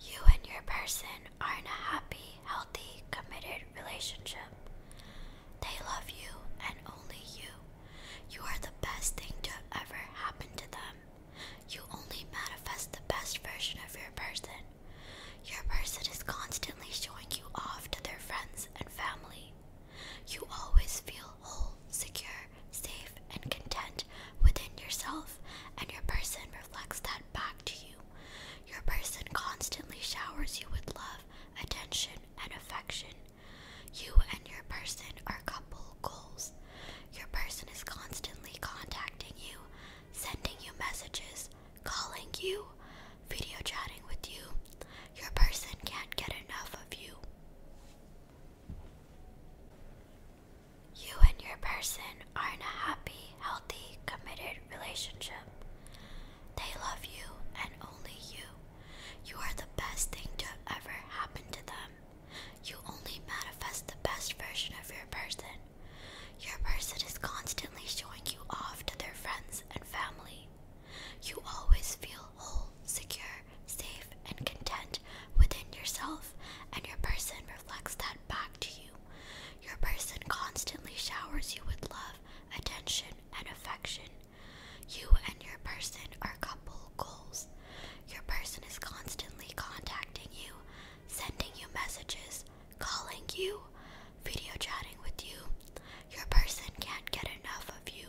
You and your person are in a happy, healthy, committed relationship. They love you and only you. You are the best thing to ever happen to them. You only manifest the best version of your person. Your person is constantly showing you off to their friends and family. You always feel whole, secure, safe, and content within yourself and your person reflects that back to you. Your person constantly showers you with love, attention, and affection. You and your person are couple goals. Your person is constantly contacting you, sending you messages, calling you, video chatting with you. Your person can't get enough of you. You and your person are in a happy, healthy, committed relationship. They love you and only you. You are the best thing to ever happen to them. You only manifest the best version of your person. Your person is constantly showing you off to their friends and family. You always feel whole, secure, safe, and content within yourself, and your person reflects that back to you. Your person constantly showers you with love, attention, and affection. You and your person are couple goals. Your person is constantly contacting you, sending you messages, calling you, video chatting with you. Your person can't get enough of you.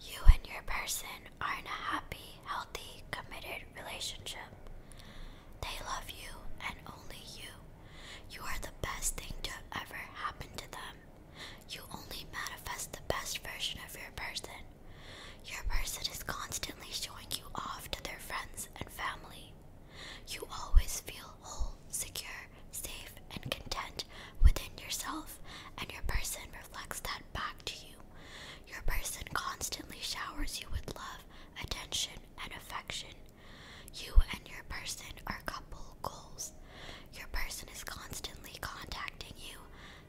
You and your person are in a happy, healthy, committed relationship. They love you and only you. You are the best thing to ever happen to them. You only manifest the best version of your person. Your person is constantly showing you off to their friends and family. You always feel whole, secure, safe, and content within yourself, and your person reflects that back to you. Your person constantly showers you with love, attention, and affection. You and your person are couple goals. Your person is constantly contacting you,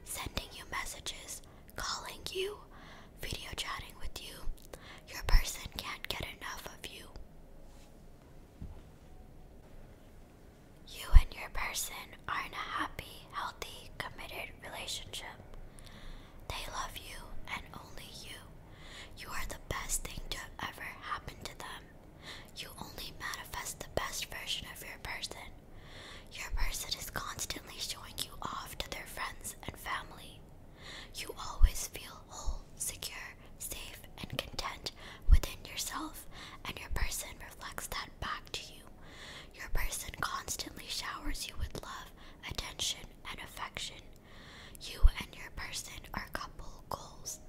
sending you messages, calling you, video chatting with you. Your person can't get enough of you. You and your person are in a happy, healthy, committed relationship. They love you and only you. You are the best thing to ever happen to them. You only manifest the best version of your person. Your person is constantly showing you off to their friends and family. You always feel whole, secure, safe, and content within yourself, and your person reflects that back to you. Your person constantly showers you with love, attention, and affection. You and your person are couple goals.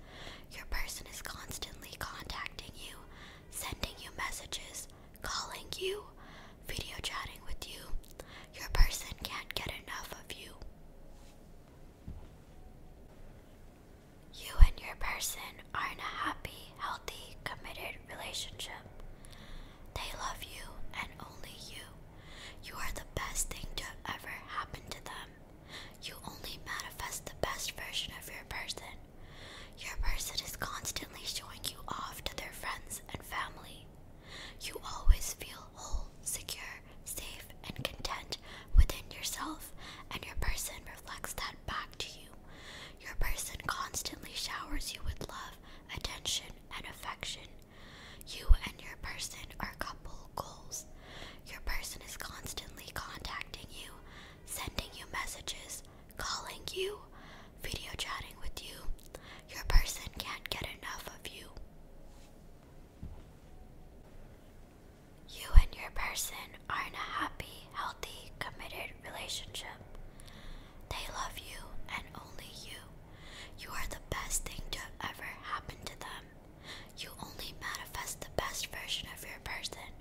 Your person is constantly contacting you, sending you messages, calling you, video chatting with you. Your person can't get enough of you. You and your person are in a happy, healthy, committed relationship. They love you and only you. You are the best thing to ever happen to them. You only manifest the best version of your person. Your person is constantly showing you off to their friends and family. You always feel whole, secure, safe, and content within yourself, and your person reflects that back to you. Your person constantly showers you with love, attention, and affection. You and your person are couple goals. Your person is constantly contacting you, sending you messages, calling you, video chatting with you. Your person can't get enough of you. You and your person are in happy, healthy, committed relationship. They love you and only you. You are the best thing to ever happen to them. You only manifest the best version of your person.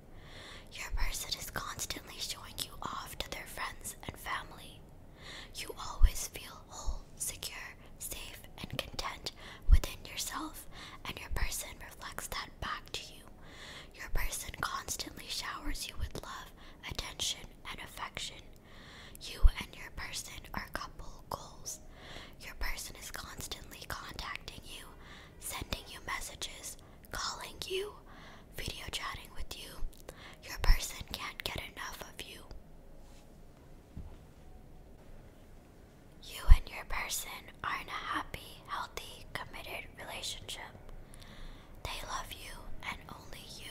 Your person is constantly showing you off to their friends and family. You always feel whole, secure, safe, and content within yourself, and your person reflects that back to you. Your person constantly showers you with love, attention, and affection. You and your person are couple goals. Your person is constantly contacting you, sending you messages, calling you, video chatting with you. Your person can't get enough of you. You and your person are in a happy, healthy, committed relationship. They love you and only you.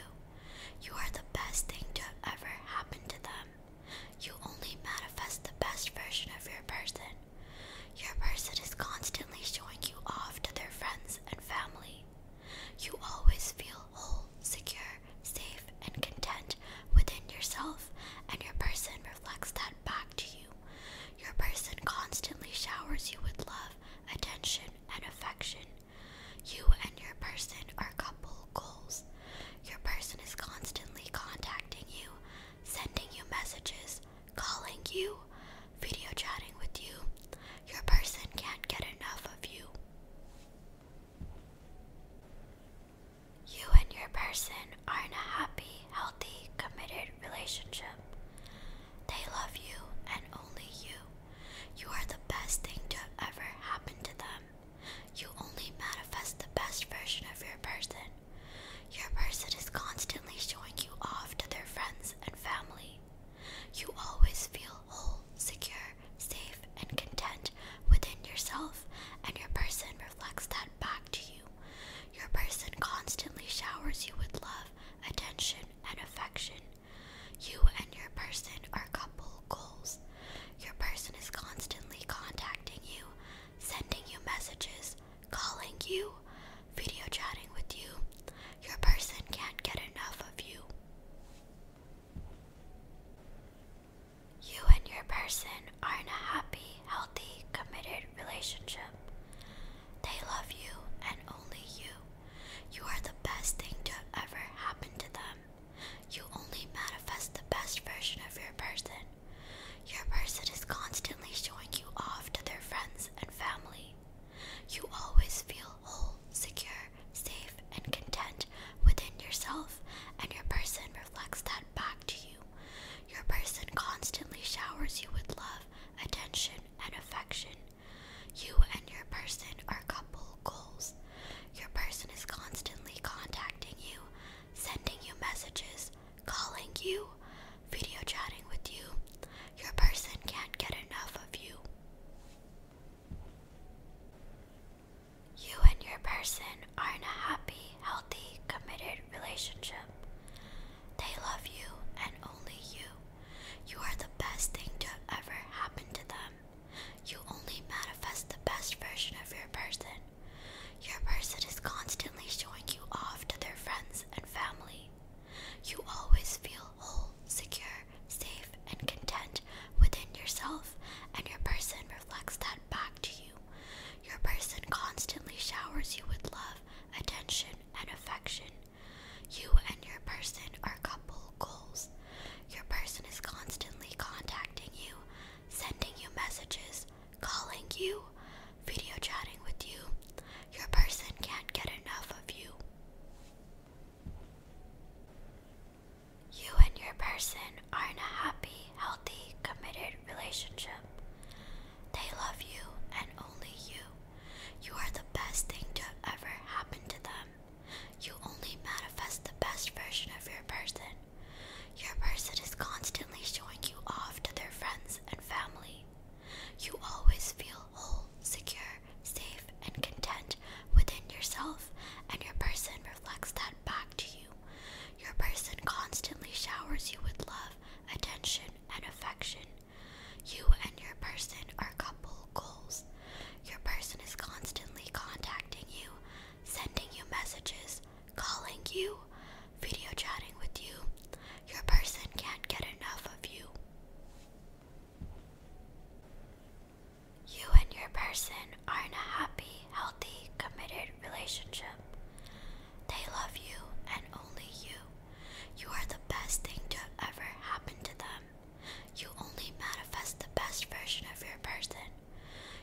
You are the best thing to ever happen to them. You only manifest the best version of your person. Your person is constantly showing you off to their friends and family. You always feel whole, secure, safe, and content within yourself, and your person reflects that back to you. Your person constantly showers you with love attention, and affection. You and your person are couple goals. Your person is constantly contacting you, sending you messages, calling you, video chatting with you. Your person can't get enough of you. You and your person are in a happy, healthy, committed relationship. They love you and only you. You are the best thing to ever happen to them. You only manifest the best version of your person. Your person is constantly showing you off to their friends and family. You always feel whole, secure, safe, and content within yourself, and your person reflects that back to you. Your person constantly showers you with love, attention, and affection. You and your person are couple goals. Your person is constantly contacting you, sending you messages, calling you, video chatting with you. Your person can't get enough of you. You and your person are in a happy, healthy, committed relationship. They love you and only you. You are the best thing to ever happen to them. You only manifest the best version of your person. Your person is constantly showing you off to their friends and family. You always feel whole, secure, safe, and content within yourself, and your person reflects that back to you. Your person constantly showers you with love attention, and affection. You and your person are couple goals. Your person is constantly contacting you, sending you messages, calling you, video chatting with you. Your person can't get enough of you. You and your person are in a happy, healthy, committed relationship. They love you and only you. You are the best thing to ever happen to them. You only manifest the best version of your person. Your person is constantly showing you off to their friends and family. You always feel whole, secure, safe, and content within yourself, and your person reflects that back to you. Your person constantly showers you with love, attention, and affection. You and your person are couple goals. Your person is constantly contacting you, sending you messages, calling you, video chatting with you. Your person can't get enough of you. You and your person are in a happy, healthy, committed relationship. They love you and only you. You are the best thing to ever happen to them. You only manifest the best version of your person. Your person is constantly showing you off to their friends and family. You always feel whole, secure, safe, and content within yourself, and your person reflects that back to you. Your person constantly showers you with love, attention, and affection. You and your person are couple goals. Your person is constantly contacting you, sending you messages, calling you, video chatting with you. Your person can't get enough of you. You and your person are in a happy, healthy, committed relationship. They love you and only you. You are the best thing to ever happen to them. You only manifest the best version of your person.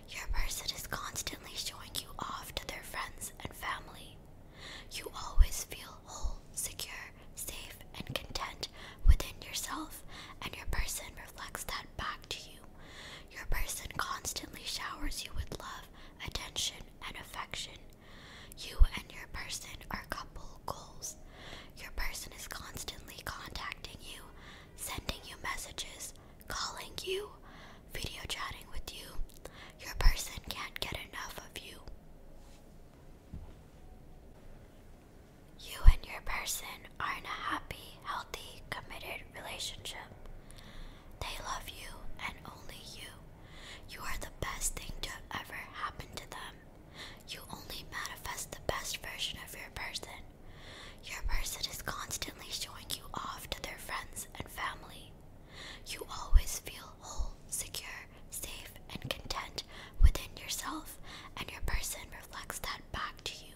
Your person is constantly showing you off to their friends and family. You always feel whole, secure, safe, and content within yourself, and your person reflects that back to you. Your person constantly showers you with love, attention, and affection. You and your person are couple goals. Your person is constantly contacting you, sending you messages, calling you, video chatting with you. Your person can't get enough of you. You and your person are in a happy, healthy, committed relationship. They love you and only you. You are the best thing to ever happen to them. You only manifest the best version of your person. Your person is constantly showing you off to their friends and family. You always feel whole, secure, safe, and content within yourself, and your person reflects that back to you.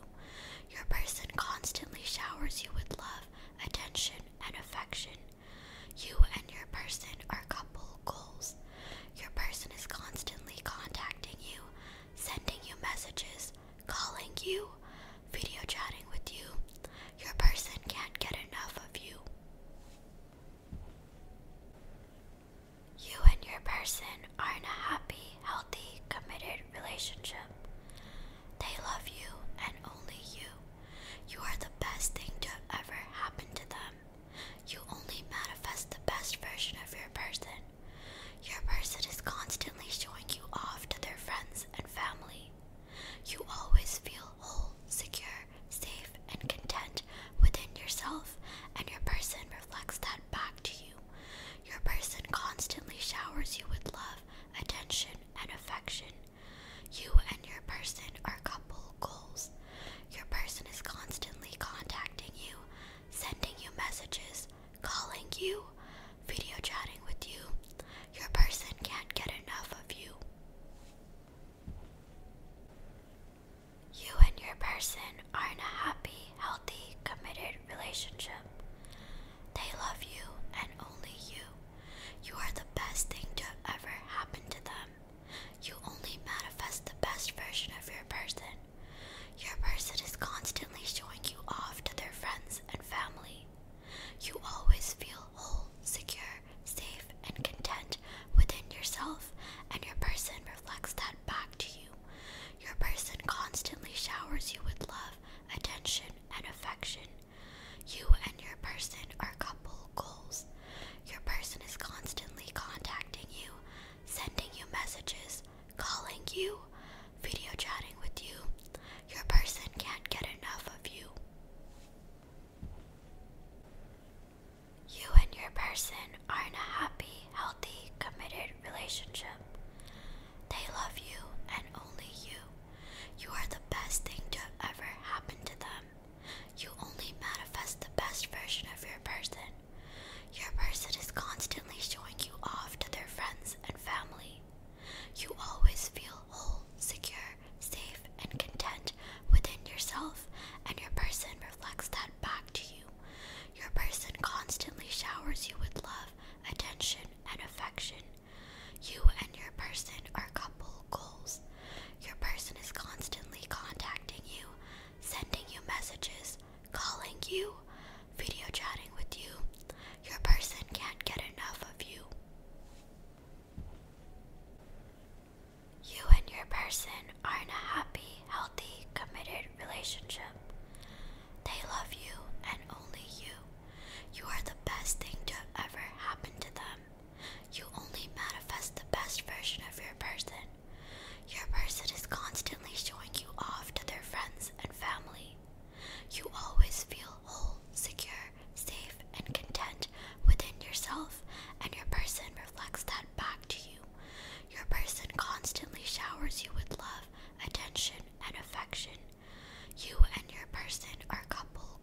Your person constantly showers you with love, attention, and affection. You and your person are couple goals. Your person is constantly contacting you, sending you messages, calling you, video chatting with you. Your person can't get enough of you. You and your person are in a happy, healthy, committed relationship. They love you and only you. You are the best thing to ever happen to them. You only manifest the best version of your person. Your person is constantly showing you off to their friends and family. You always feel whole, secure, safe, and content within yourself, and your person reflects that back to you. Your person constantly showers you with love, attention, and affection. You and your person are couple goals. Your person is constantly contacting you, sending you messages, calling you, video chatting with you. Your person can't get enough of you. You and your person are in a happy, healthy, committed relationship. They love you and only you. You are the best thing to ever happen to them. You only manifest the best version of your person. Your person is constantly showing you off to their friends and family. You always feel whole, secure, safe, and content within yourself, and your person reflects that back to you. Your person constantly showers you with love, attention, and affection. You and your person are couple goals. Your person is constantly contacting you, sending you messages, calling you, video chatting with you. Your person can't get enough of you. You and your person are in a happy, healthy, committed relationship. They love you and only you. You are the best thing to ever happen to them. You only manifest the best version of your person. Your person is constantly showing you off to their friends and family. You always feel whole, secure, safe, and content within yourself, and your person reflects that back to you. Your person constantly showers you with love, attention, and affection. You and your person are couple goals. Your person is constantly contacting you, sending you messages, calling you, video chatting with you. Your person can't get enough of you. You and your person are in a happy, healthy, committed relationship. They love you and only you. You are the best thing to ever happen to them. You only manifest the best version of your person. Your person is constantly showing you off to their friends and family. You always feel whole, secure, safe, and content within yourself, and your person reflects that back to you. Your person constantly showers you with love, attention, and affection. You and your person are couples.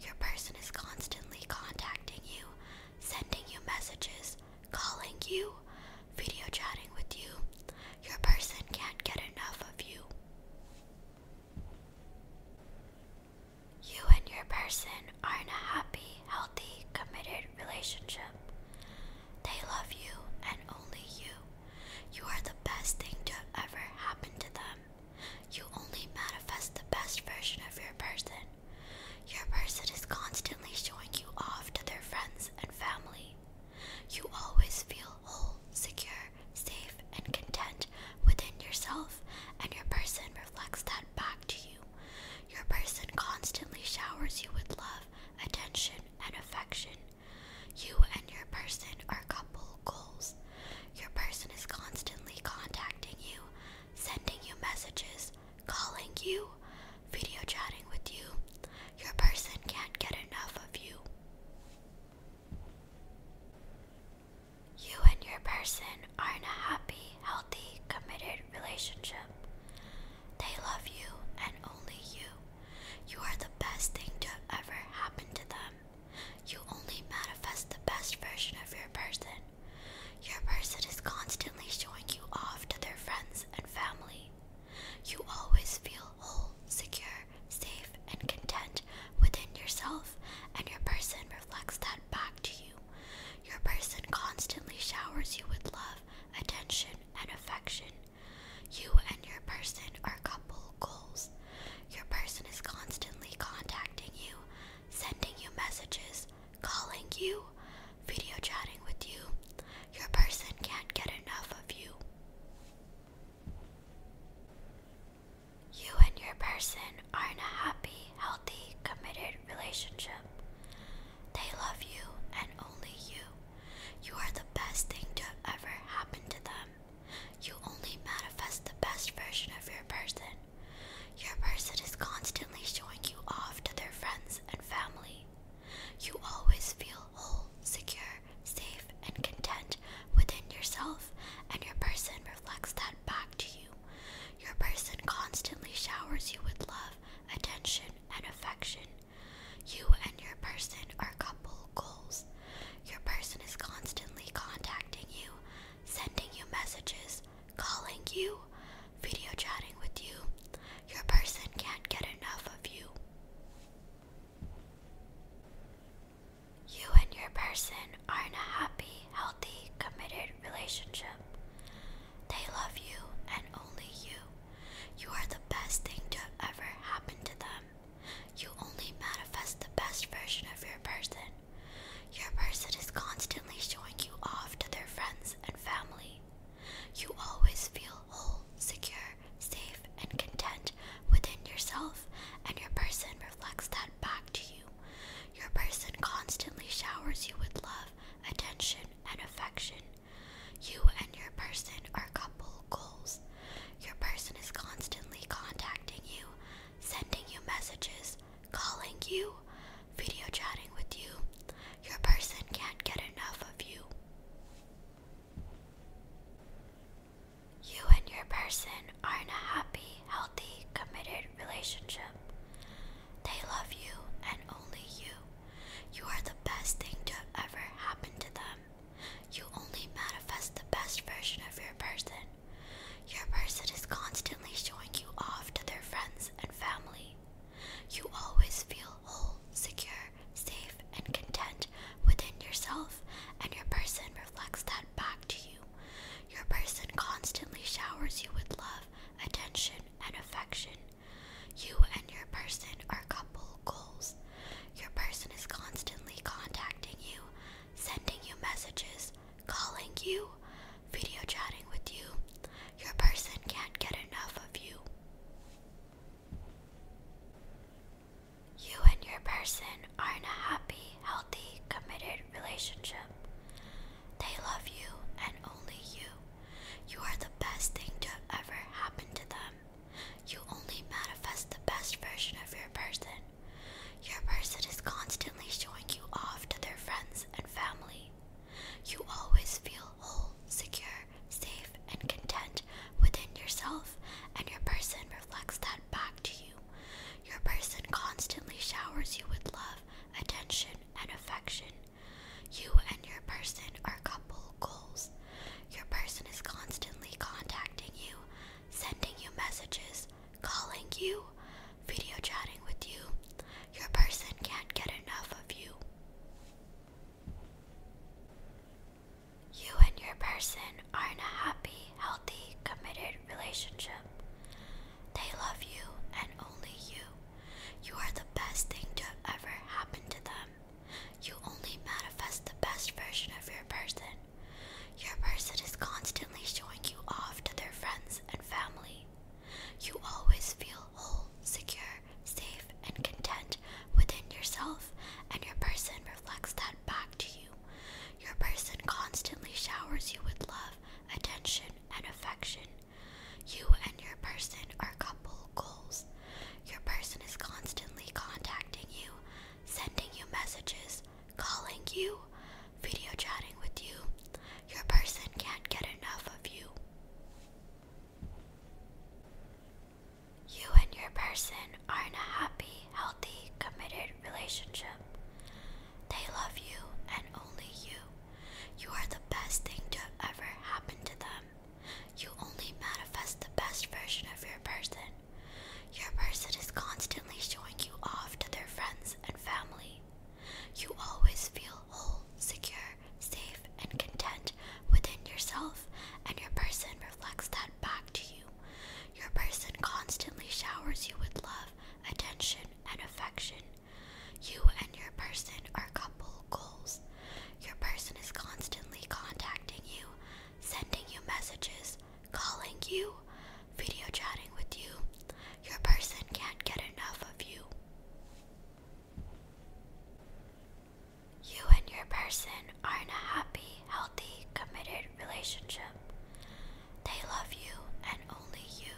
Your person is constantly contacting you, sending you messages, calling you, video chatting with you. Your person can't get enough of you. You and your person are in a happy, healthy, committed relationship. They love you and only you. You are the best thing to ever happen to them. You only manifest the best version of your person. Your person is constantly showing you off to their friends and family. You always feel whole, secure, safe, and content within yourself, and your person reflects that back to you. Your person constantly showers you with love, attention, and affection. You and your person are couple goals. Your person is constantly contacting you, sending you messages, calling you, video chatting with you. Your person can't get enough of you. You and your person are in a happy, healthy, committed relationship. They love you and only you. You are the best thing to ever happen to them. You only manifest the best version of your person. Your person is constantly showing you off to their friends and family. You always feel whole, secure, safe, and content within yourself, and your person reflects that back to you. Your person constantly showers you with love, attention, and affection. You and your person are couple goals. Your person is constantly contacting you, sending you messages, calling you, video chatting with you. Your person can't get enough of you. You and your person are in a happy, healthy, committed relationship. They love you and only you. You are the best thing to ever happen to them. You only manifest the best version of your person. Your person is constantly showing you off to their friends and family. You always feel whole, secure, safe, and content within yourself, and your person reflects that back to you. Your person constantly showers you with love, attention, and affection. You and your person are couple goals. Your person is constantly contacting you, sending you messages, calling you, video chatting with you. Your person can't get enough of you. You and your person are in a happy, healthy, committed relationship. They love you and only you. You are the best thing to ever happen to them. You only manifest the best version of your person. Your person is constantly showing you off to their friends and family. You always feel whole, secure, safe, and content within yourself, and your person reflects that back to you. Your person constantly showers you with love, attention, and affection. You and your person are couple goals. Your person is constantly contacting you, sending you messages, calling you, video chatting with you. Your person can't get enough of you. You and your person are in a happy, healthy, committed relationship. They love you and only you. You are the best thing to ever happen to them. You only manifest the best version of your person. Your person is constantly showing you off to their friends and family. You always feel whole, secure, safe, and content within yourself, and your person reflects that back to you. Your person constantly showers you with love, attention, and affection. You and your person are couple goals. Your person is constantly contacting you, sending you messages, calling you, video chatting with you. Your person can't get enough of you. You and your person are in a happy, healthy, committed relationship. They love you and only you. You are the best thing to ever happen to them. You only manifest the best version of your person. Your person is constantly showing you off to their friends and family. You always feel whole, secure, safe, and content within yourself, and your person reflects that back to you. Your person constantly showers you with love, attention, and affection. You and your person are couple goals. Your person is constantly contacting you, sending you messages, calling you, video chatting with you. Your person can't get enough of you. You and your person are in a happy, healthy, committed relationship. They love you and only you. You are the best thing to ever happen to them. You only manifest the best version of your person. Your person is constantly showing you off to their friends and family. You always feel whole, secure, safe, and content within yourself, and your person reflects that back to you. Your person constantly showers you with love, attention, and affection. You and your person are couple goals. Your person is constantly contacting you, sending you messages, calling you, video chatting with you. Your person can't get enough of you. You and your person are in a happy, healthy, committed relationship. They love you and only you. You are the best thing to ever happen to them. You only manifest the best version of your person. Your person is constantly showing you off to their friends and family. You always feel whole, secure, safe, and content within yourself, and your person reflects that back to you. Your person constantly showers you with love, attention, and affection. You and your person are couple goals. Your person is constantly contacting you, sending you messages, calling you, video chatting with you. Your person can't get enough of you. You and your person are in a happy, healthy, committed relationship. They love you and only you.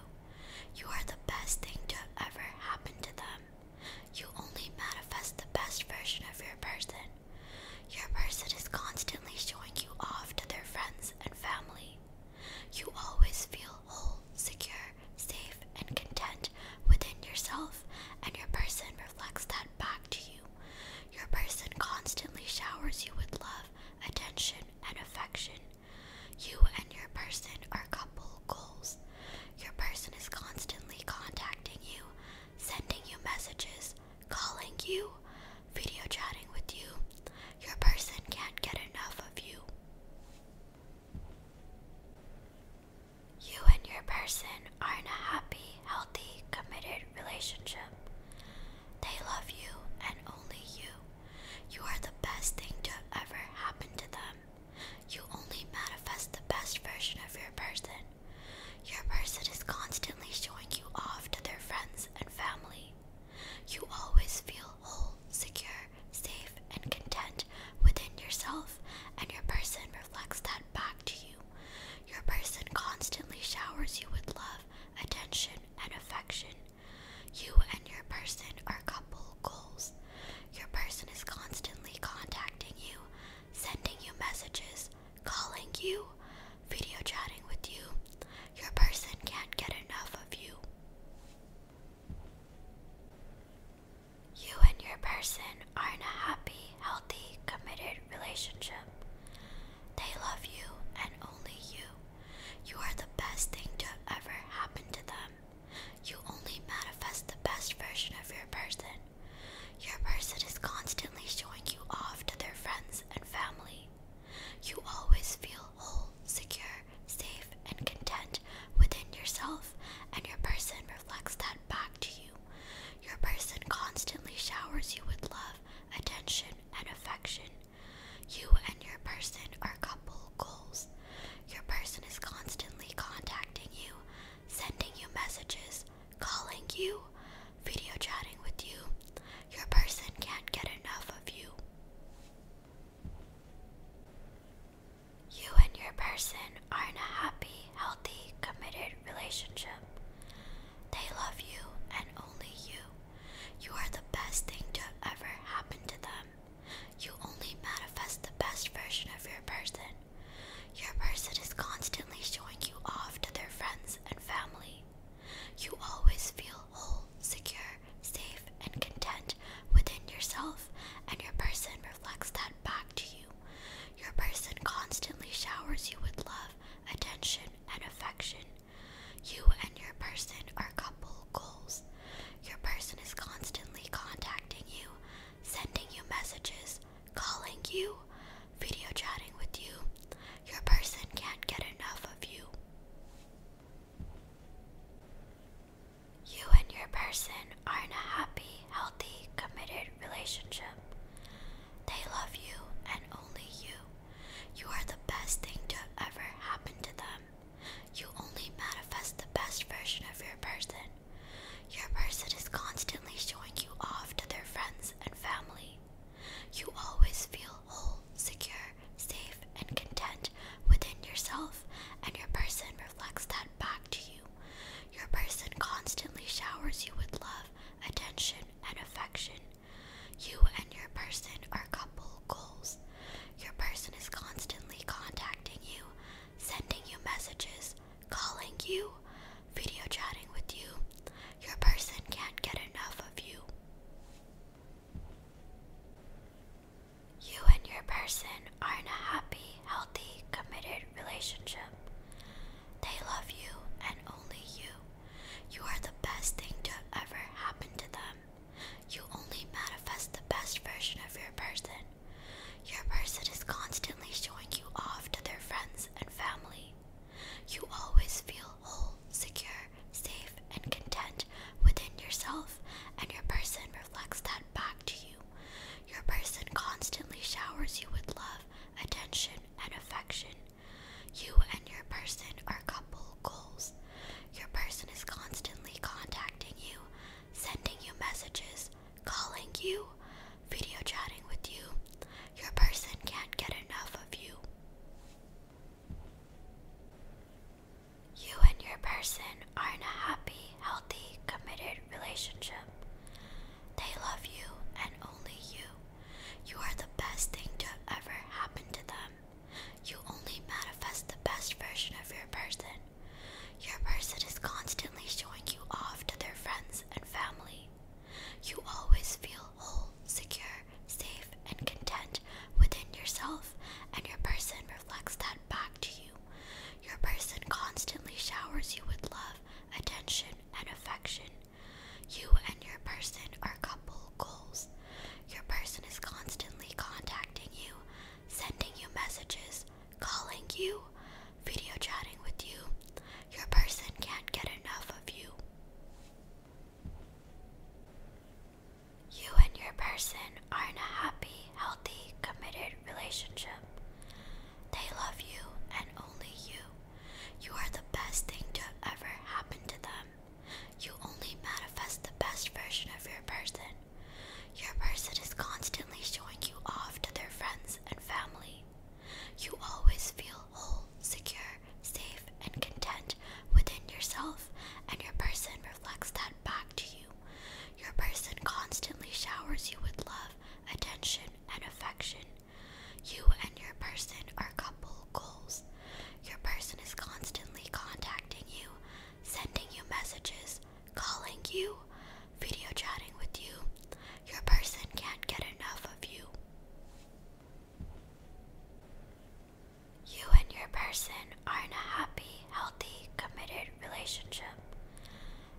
You are the best thing to ever happen to them. You only manifest the best version of your person. Your person is constantly showing you off to their friends and family. You always feel whole, secure, safe, and content within yourself, and your person reflects that back to you. Your person constantly showers you with love, attention, and affection. You and your person are couple goals. Your person is constantly contacting you, sending you messages, calling you, video chatting with you, your person can't get enough of you. You and your person are in a happy, healthy, committed relationship. They love you and only you. You are the best thing to ever happen to them. You only manifest the best version of your person. Your person is constantly showing you off to their friends and family. You always feel whole, secure, safe, and content within yourself, and your person reflects that back to you. Your person constantly showers you with love, attention, and affection. You and your person are couple goals. Your person is constantly contacting you, sending you messages, calling you, video chatting with you, your person can't get enough of you. You and your person are in a happy, healthy, committed relationship. They love you and only you. You are the best thing to ever happen to them. You only manifest the best version of your person. Your person is constantly showing you off to their friends and family. You always feel whole, secure, safe, and content within yourself, and your person reflects that back to you. Your person constantly showers you with love, attention, and affection. You and your person are couple goals. Your person is constantly contacting you, sending you messages, calling you, video chatting with you. Your person can't get enough of you. You and your person are in a happy, healthy, committed relationship. They love you and only you. You are the best thing to ever happen to them. You only manifest the best version of your person. Your person is constantly showing you off to their friends and family. You always feel whole, secure, safe, and content within yourself, and your person reflects that back to you. Your person constantly showers you with love, attention, and affection. You and your person are couple goals. Your person is constantly contacting you, sending you messages, calling you, video chatting with you. Your person can't get enough of you. You and your person are in a happy, healthy, committed relationship. They love you and only you. You are the best thing to ever happen to them. You only manifest the best version of your person. Your person is constantly showing you off to their friends and family. You always feel whole, secure, safe, and content within yourself, and your person reflects that back to you. Your person constantly showers you with love, attention, and affection. You and your person are couple goals. Your person is constantly contacting you, sending you messages, calling you, video chatting with you. Your person can't get enough of you. You and your person are in a happy, healthy, committed relationship. They love you and only you. You are the best thing to ever happen to them. You only manifest the best version of your person. Your person is constantly showing you off to their friends and family. You always feel whole, secure, safe, and content within yourself, and your person reflects that back to you. Your person constantly showers you with love, attention, and affection. You and your person are couple goals. Your person is constantly contacting you, sending you messages, calling you, video chatting with you. Your person can't get enough of you. You and your person are in a happy, healthy, committed relationship. They love you and only you. You are the best thing to ever happen to them. You only manifest the best version of your person. Your person is constantly showing you off to their friends and family. You always feel whole, secure, safe, and content within yourself, and your person reflects that back to you. Your person constantly showers you with love, attention, and affection. You and your person are couple goals. Your person is constantly contacting you, sending you messages, calling you, video chatting with you. Your person can't get enough of you. You and your person are in a happy, healthy, committed relationship. They love you and only you. You are the best thing to ever happen to them. You only manifest the best version of your person. Your person is constantly showing you off to their friends and family. You always feel whole, secure, safe, and content within yourself, and your person reflects that back to you. Your person constantly showers you with love, attention, and affection. You and your person are couple goals. Your person is constantly contacting you, sending you messages, calling you, video chatting with you. Your person can't get enough of you. You and your person are in a happy, healthy, committed relationship.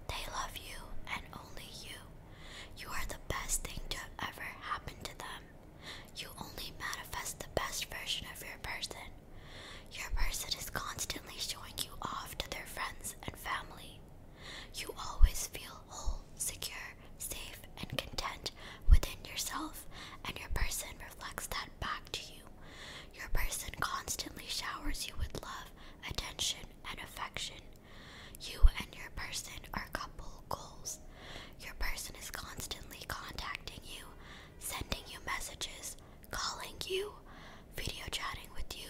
They love you and only you. You are the best thing to ever happen to them. You only manifest the best version of your person. Your person is constantly showing you off to their friends and family. You always feel whole, secure, safe, and content within yourself, and your person reflects that back to you. Your person constantly showers you with love, attention, and affection. You and your person are couple goals. Your person is constantly contacting you, sending you messages, calling you, video chatting with you.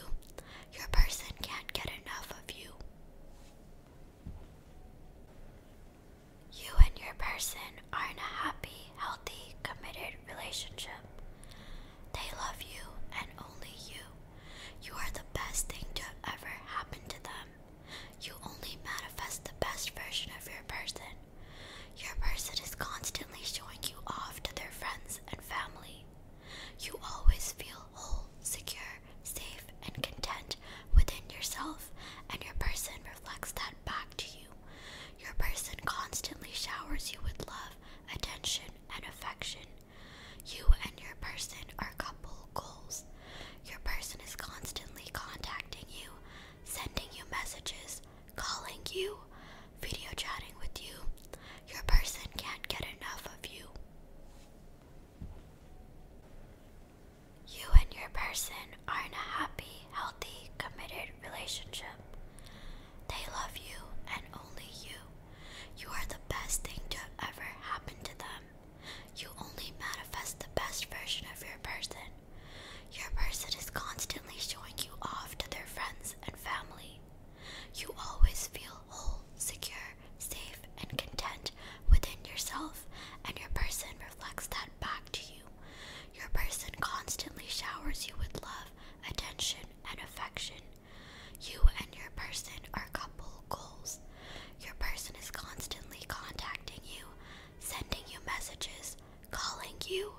Your person can't get enough of you. You and your person are in a happy, healthy, committed relationship. They love you and only you. You are the best thing to have ever happen to them. You only manifest the best version of your person. Your person is constantly showing you off to their friends and family. You always feel whole, secure, safe, and content within yourself, and your person reflects that back to you. Your person constantly showers you with love, attention, and affection. You and your person are couple goals. Your person is constantly contacting you, sending you messages, calling you, video chatting with you. Your person can't get enough of you. You and your person are in a happy, healthy, committed relationship. They love you and only you. You are the best thing to ever happen to them. You only manifest the best version of your person. Your person is constantly showing you off to their friends and family. You always feel whole, secure, safe, and content within yourself, and your person reflects that back to you. Your person constantly showers you with love, attention, and affection. You and your person are couple goals. Your person is constantly contacting you, sending you messages, calling you,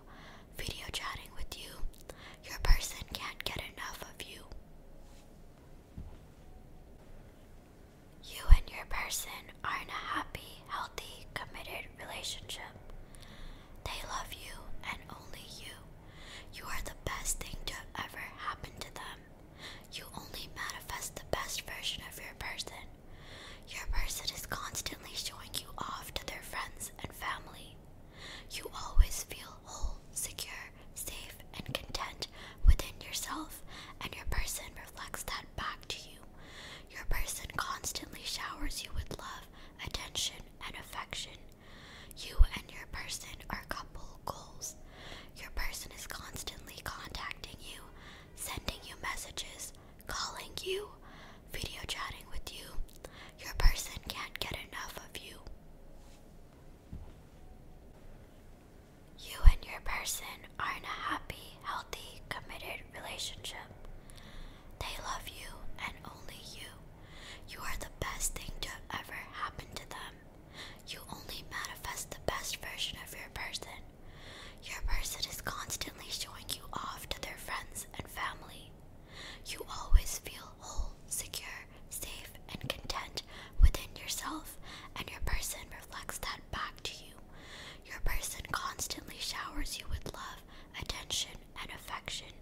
video chatting with you. Your person can't get enough of you. You and your person are in happy, healthy, committed relationship. They love you and only you. You are the best thing to ever happen to them. You only manifest the best version of your person. Your person is constantly showing you off to their friends and family. You always feel whole, secure, safe, and content within yourself, and your person reflects that back to you. Your person constantly showers you with love, attention, and affection. You and your person are couple goals. Your person is constantly contacting you, sending you messages, calling you, video chatting with you. Your person can't get enough of you. You and your person are in a happy, healthy, committed relationship. They love you and only you. You are the best thing to ever happen to them. You only manifest the best version of your person. Your person is constantly showing you off to their friends and family. You always feel whole, secure, safe, and content within yourself, and your person reflects that back to you. Your person constantly showers you with love, attention, and affection.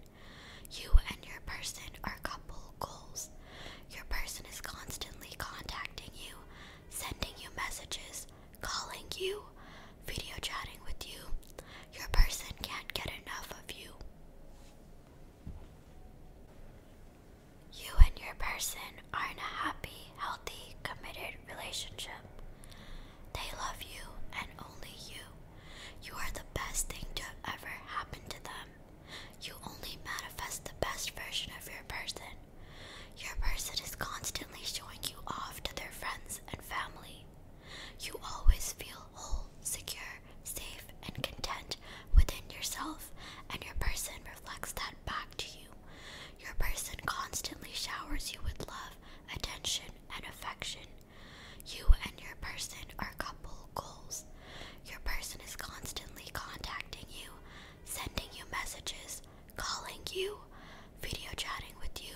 You and your person are couple goals. Your person is constantly contacting you, sending you messages, calling you, video chatting with you. Your person can't get enough of you. You and your person are in a happy, healthy, committed relationship. They love you and only you. You are the best thing to ever happen to them. You only manifest the best version of your person. Your person is constantly showing you off to their friends and family. You always feel whole, secure, safe, and content within yourself, and your person reflects that back to you. Your person constantly showers you with love, attention, and affection. You and your person are couple goals. Your person is constantly contacting you, sending you messages, calling you, video chatting with you.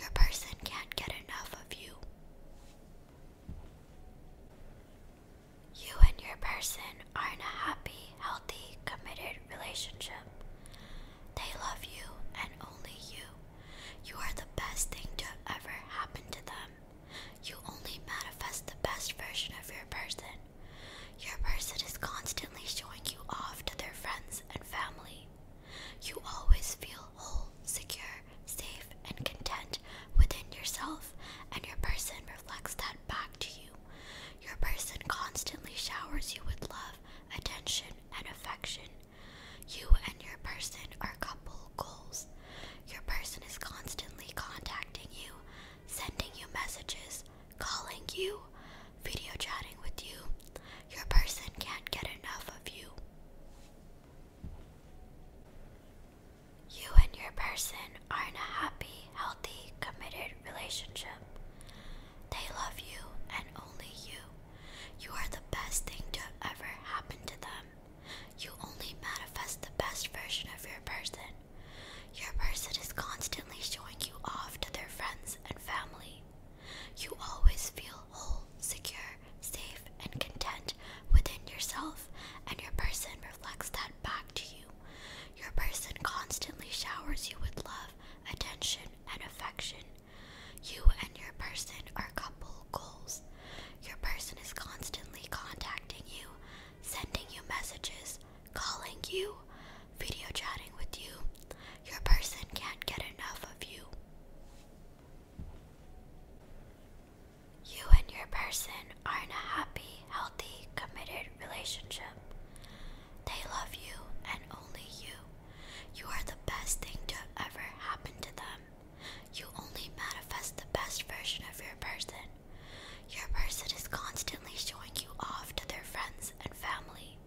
Your person can't get enough of you. You and your person are in a happy, healthy, committed relationship. They love you and only you. You are the best thing to ever happen to them. You only manifest the best version of your person. Your person is constantly showing you off to their friends and family. You always feel whole, secure, safe, and content within yourself, and your person reflects that back to you. Your person constantly showers you with love attention, and affection. You and your person are couple goals. Your person is constantly contacting you, sending you messages, calling you, video chatting with you. Your person can't get enough of you. You and your person are in a happy, healthy, committed relationship. They love you and only you. You are the best thing to have ever happened to them. You only manifest the best version of your person. Your person is constantly showing you off to their friends and family. You always feel whole, secure, safe, and content within yourself, and your person reflects that back to you. Your person constantly showers you with love, attention, and affection. You and your person are couple goals. Your person is constantly contacting you, sending you messages, calling you, video chatting with you. Your person can't get enough of you. You and your person are in a happy, healthy, committed relationship. They love you and only you. You are the best thing to ever happen to them. You only manifest the best version of your person. Your person is constantly showing you off to their friends and family.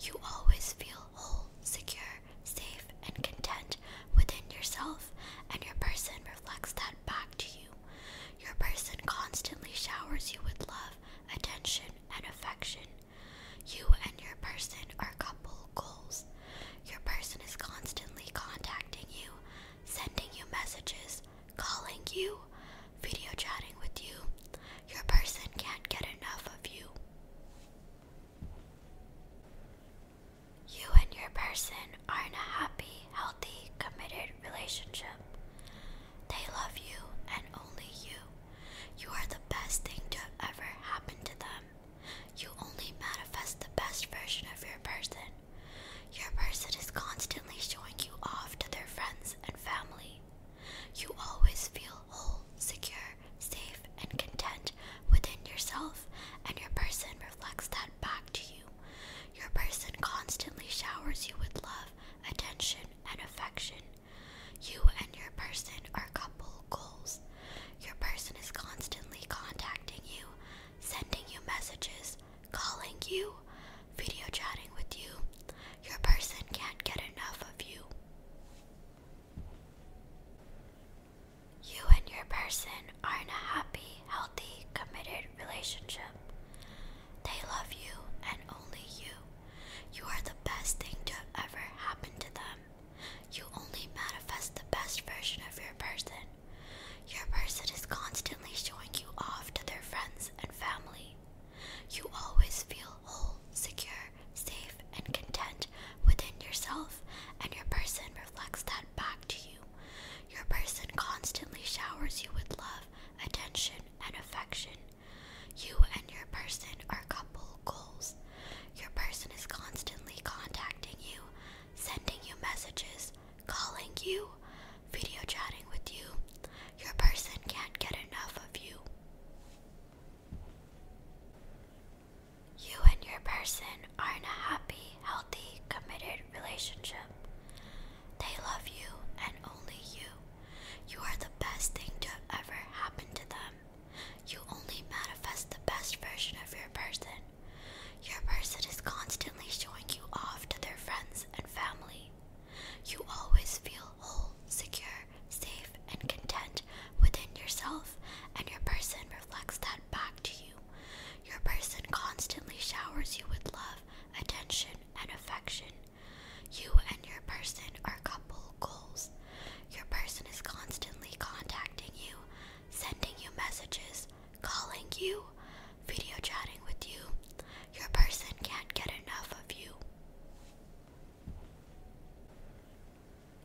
You always feel whole, secure, safe, and content within yourself, and your person reflects that back to you. Your person constantly showers you with love, attention, and affection. You and your person are couple goals. Your person is constantly contacting you, sending you messages, calling you, video chatting with you. Your person can't get enough of you. You and your person are in a happy, healthy, committed relationship. They love you and only you. You are the best thing to have ever happened to them. You only manifest the best version of your person. Your person is constantly showing you off to their friends and family. You always feel whole, secure, safe, and content within yourself, and your person reflects that back to you. Your person constantly showers you with love, attention, and affection. You and your person are couple goals. Your person is constantly contacting you, sending you messages, calling you, video chatting with you. Your person can't get enough of you. You and your person are in a happy, healthy, committed relationship. They love you and only you. You are the best thing to ever happen to them. You only manifest the best version of your person. Your person is constantly showing you off to their friends and family. You always feel whole, secure, safe, and content within yourself, and your person reflects that back to you. Your person constantly showers you with love, attention, and affection. You and your person are couple goals. Your person is constantly contacting you, sending you messages, calling you, video chatting with you. Your person can't get enough of you. You and your person are in a happy, healthy, committed relationship. They love you and only you. You are the best thing to have ever happened to them. You only manifest the best version of your person. Your person is constantly showing you off to their friends and family. You always feel whole, secure, safe, and content within yourself, and your person reflects that back to you. Your person constantly showers you with love, attention, and affection. You and your person are couple goals. Your person is constantly contacting you, sending you messages, calling you, video chatting with you. Your person can't get enough of you.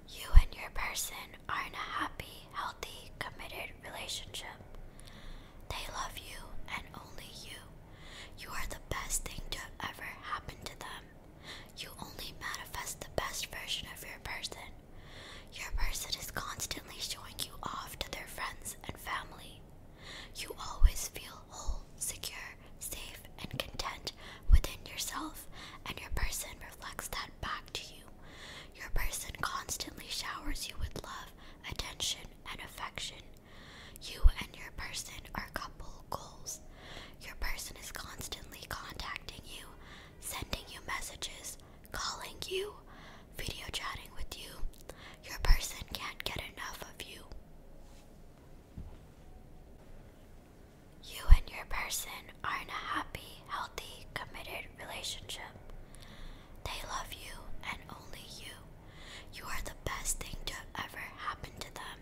You and your person are in a happy, healthy, committed relationship. They love you and only you. You are the best thing to ever happen to them. You only manifest the best version of your person. Your person is constantly showing you off to their friends and family. You always feel whole, secure, safe, and content within yourself, and your person reflects that back to you. Your person constantly showers you with love, attention, and affection. You and your person are couple goals. Your person is constantly contacting you, sending you messages, calling you, video chatting with you. Your person can't get enough of you. You and your person are in a happy, healthy, committed relationship. They love you and only you. You are the best thing to ever happen to them.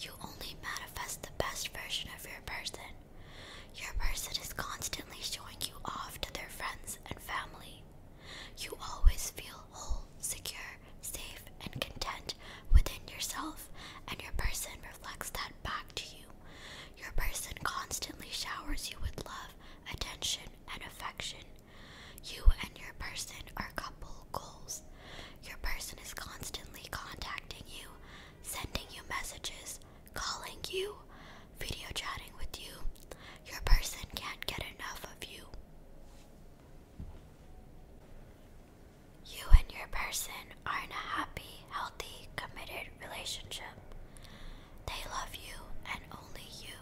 You only manifest the best version of your person. Your person is constantly showing you off to their friends and family. You always feel whole, secure, safe, and content within yourself, and your person reflects that back to you. Your person constantly showers you with love, attention, and affection. You and your person are couple goals. Your person is constantly contacting you, sending you messages, calling you, video chatting with you. Your person can't get enough of you. You and your person are in a happy, healthy, committed relationship. They love you and only you.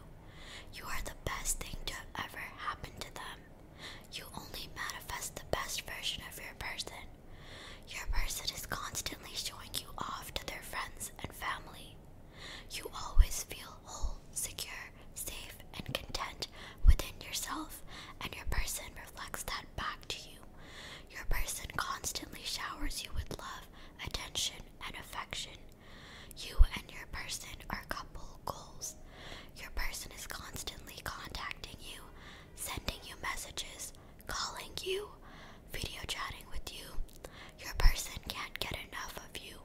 You are the best thing to ever happen to them. You only manifest the best version of your person. Your person is constantly showing you off to their friends and family. You always feel whole, secure, safe, and content within yourself, and your person reflects that back to you. Your person constantly showers you with love, attention, and affection. You and your person are coupled goals. Your person is constantly contacting you, sending you messages, calling you, video chatting with you. Your person can't get enough of you.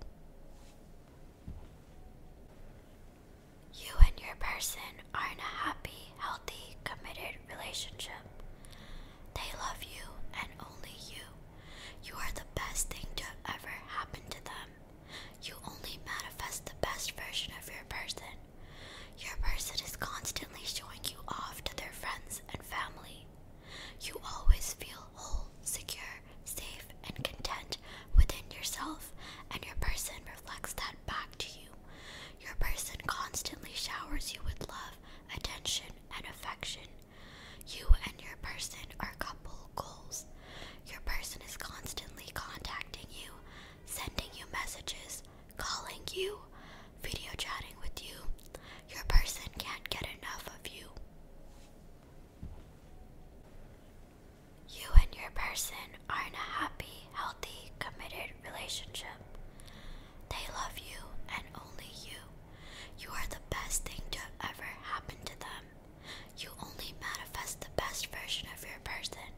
You and your person are in a happy, healthy, committed relationship. They love you and only you. You are the best thing to ever happen to them. You only manifest the best version of your person. Your person is constantly showing you off to their friends and family. You always feel whole, secure, safe, and content within yourself, and your person reflects that back to you. Your person constantly showers you with love, attention, and affection. You and your person are couple goals. Your person is constantly contacting you, sending you messages, calling you, video chatting with you. Your person can't get enough of you. You and your person are in a happy, healthy, committed relationship. They love you and only you. You are the best thing to ever happen to them. You only manifest the best version of your person.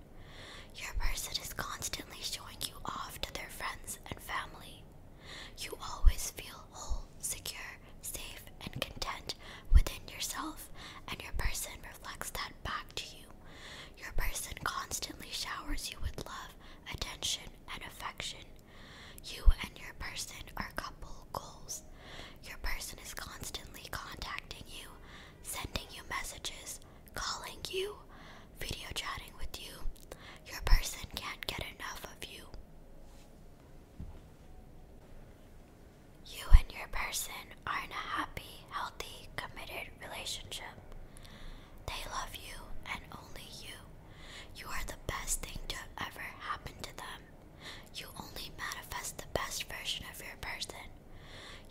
Your person is constantly showing you off to their friends and family. You always feel whole, secure, safe, and content within yourself, and your person reflects that back to you. Your person constantly showers you with love, attention, and affection. You and your person are couple goals. Your person is constantly contacting you, sending you messages, calling you, video chatting with you. Your person can't get enough of you. You and your person are in a happy, healthy, committed relationship. They love you and only you. You are the best thing to ever happen to them. You only manifest the best version of your person.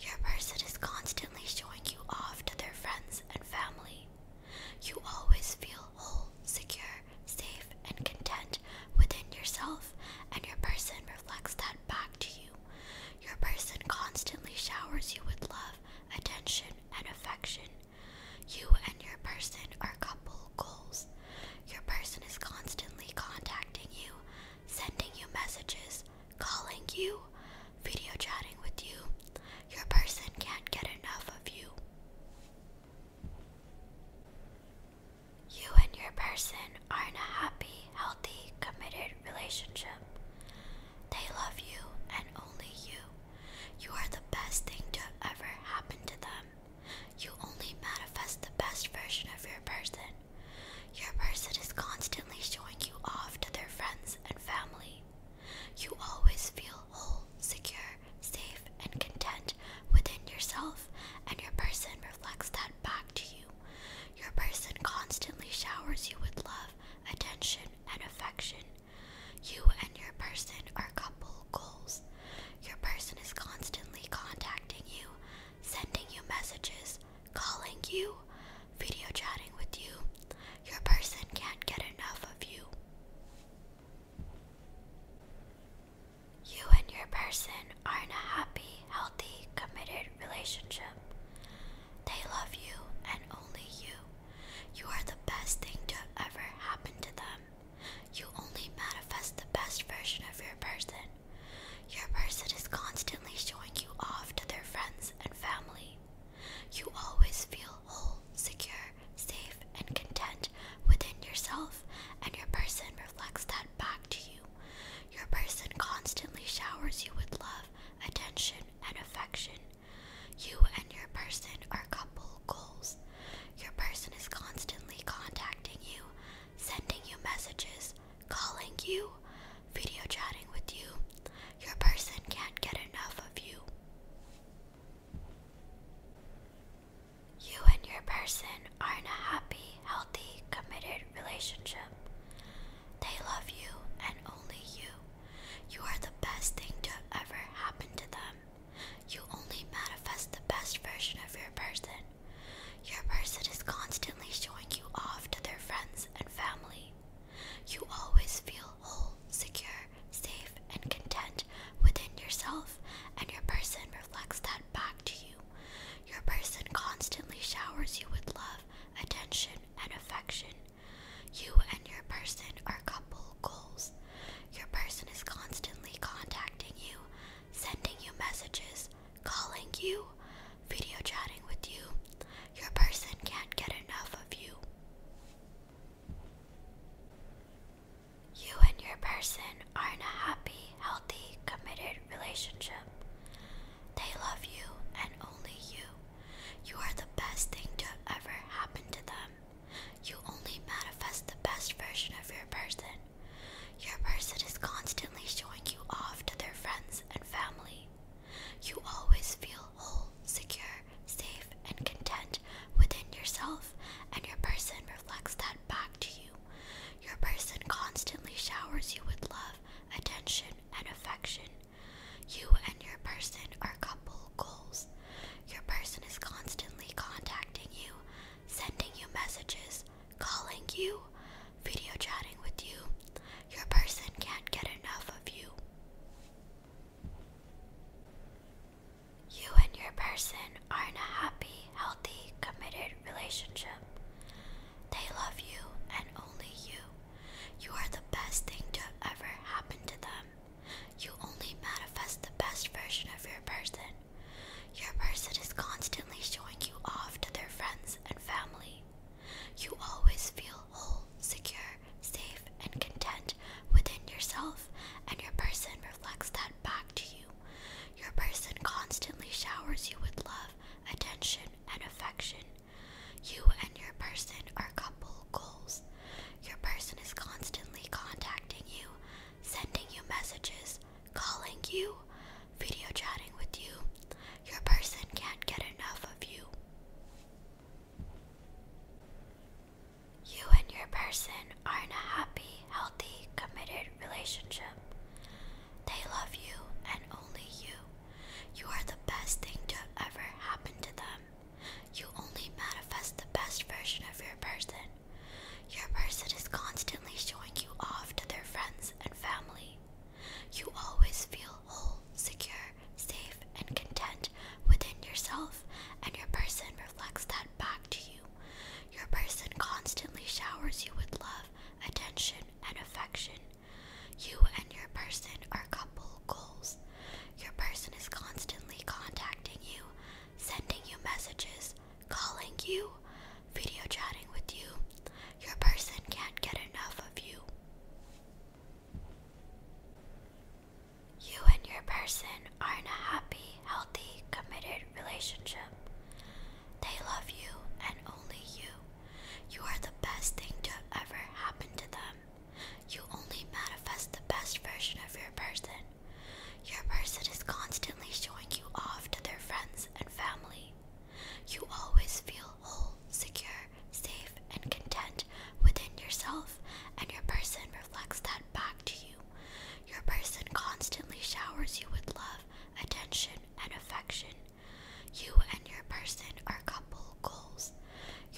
Your person is constantly showing you off to their friends and family. You always feel whole, secure, safe, and content within yourself, and your person reflects that back to you. Your person constantly showers you with love, attention, and affection. You and your person are couple goals. Your person is constantly contacting you, sending you messages, calling you, video chatting with you. Your person can't get enough of you. You and your person are in a happy, healthy, committed relationship. They love you and only you. You are the best thing to ever happen to them. You only manifest the best version of your person your person is constantly showing you off to their friends and family. You always feel whole, secure, safe, and content within yourself, and your person reflects that back to you. Your person constantly showers you with love, attention, and affection. You and your person are couple goals. Your person is constantly contacting you, sending you messages, calling you, video chatting with you. Your person can't get enough of you. You and your person are in a happy, healthy, committed relationship. They love you and only you. You are the best thing to ever happen to them. You only manifest the best version of your person. Your person is constantly showing you off to their friends and family. You always feel whole, secure, safe, and content within yourself, and your person reflects that back to you. Your person constantly showers you with love, attention, and affection. You and your person are couple goals. Your person is constantly contacting you, sending you messages, calling you, video chatting with you. Your person can't get enough of you. You and your person are in a happy, healthy, committed relationship. They love you and only you. You are the best thing to ever happen to them. You only manifest the best version of your person your person is constantly showing you off to their friends and family. You always feel whole, secure, safe, and content within yourself, and your person reflects that back to you. Your person constantly showers you with love, attention, and affection. You and your person are couple goals. Your person is constantly contacting you, sending you messages, calling you, video chatting with you. Your person can't get enough of you. You and your person are in a happy, healthy, committed relationship. They love you and only you. You are the best thing to ever happen to them. You only manifest the best version of your person. Your person is constantly showing you off to their friends and family. You always feel whole, secure, safe, and content within yourself, and your person reflects that back to you. Your person constantly showers you with love, attention, and affection. You and your person are couple goals. Your person is constantly contacting you, sending you messages, calling you, video chatting with you. Your person can't get enough of you. You and your person are in a happy, healthy, committed relationship. They love you and only you. You are the best thing to ever happen to them. You only manifest the best version of your person. Your person is constantly showing you off to their friends and family. You always feel whole, secure, safe, and content within yourself, and your person reflects that back to you. Your person constantly showers you with love, attention, and affection. You and your person are couple goals. Your person is constantly contacting you, sending you messages, calling you, video chatting with you. Your person can't get enough of you. You and your person are in a happy, healthy, committed relationship. They love you and only you. You are the best thing to ever happen to them. You only manifest the best version of your person. Your person is constantly showing you off to their friends and family. You always feel whole, secure, safe, and content within yourself, and your person reflects that back to you. Your person constantly showers you with love, attention, and affection. You and your person are couple goals. Your person is constantly contacting you, sending you messages, calling you, video chatting with you. Your person can't get enough of you. You and your person are in a happy, healthy, committed relationship. They love you and only you. You are the best thing to ever happen to them. You only manifest the best version of your person. Your person is constantly showing you off to their friends and family. You always feel whole, secure, safe, and content within yourself, and your person reflects that back to you. Your person constantly showers you with love, attention, and affection. You and your person are couple goals.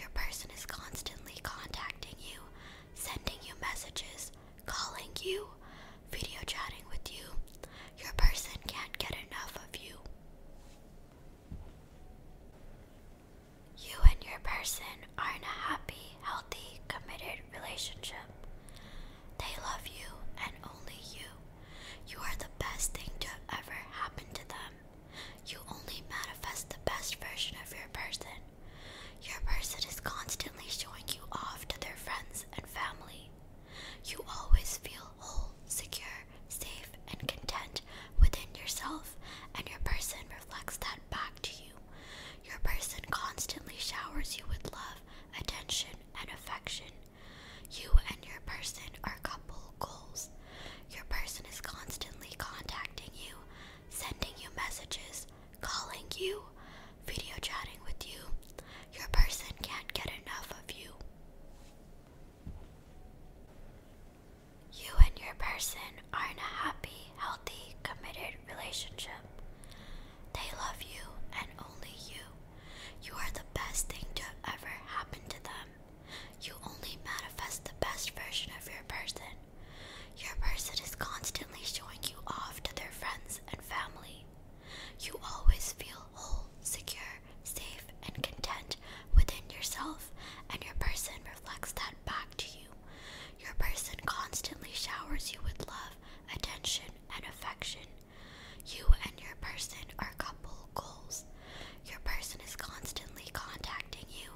Your person is constantly contacting you, sending you messages, calling you, video chatting with you, your person can't get enough of you. You and your person are in a happy, healthy, committed relationship. They love you and only you. You are the best thing to ever happen to them. You only manifest the best version of your person. Your person is constantly showing you off to their friends and family. You always feel whole, secure, safe, and content within yourself, and your person reflects that back to you. Your person constantly showers you with love, attention, and affection. You and your person are couple goals. Your person is constantly contacting you, sending you messages, calling you, video chatting with you. Your person can't get enough of you. You and your person are in a happy, healthy, committed relationship. They love you and only you. You are the best thing to ever happen to them. You only manifest the best version of your person. Your person is constantly showing you off to their friends and family. You always feel whole, secure, safe, and content within yourself, and your person reflects that back to you. Your person constantly showers you with love, attention, and affection. You and your person are couple goals. Your person is constantly contacting you,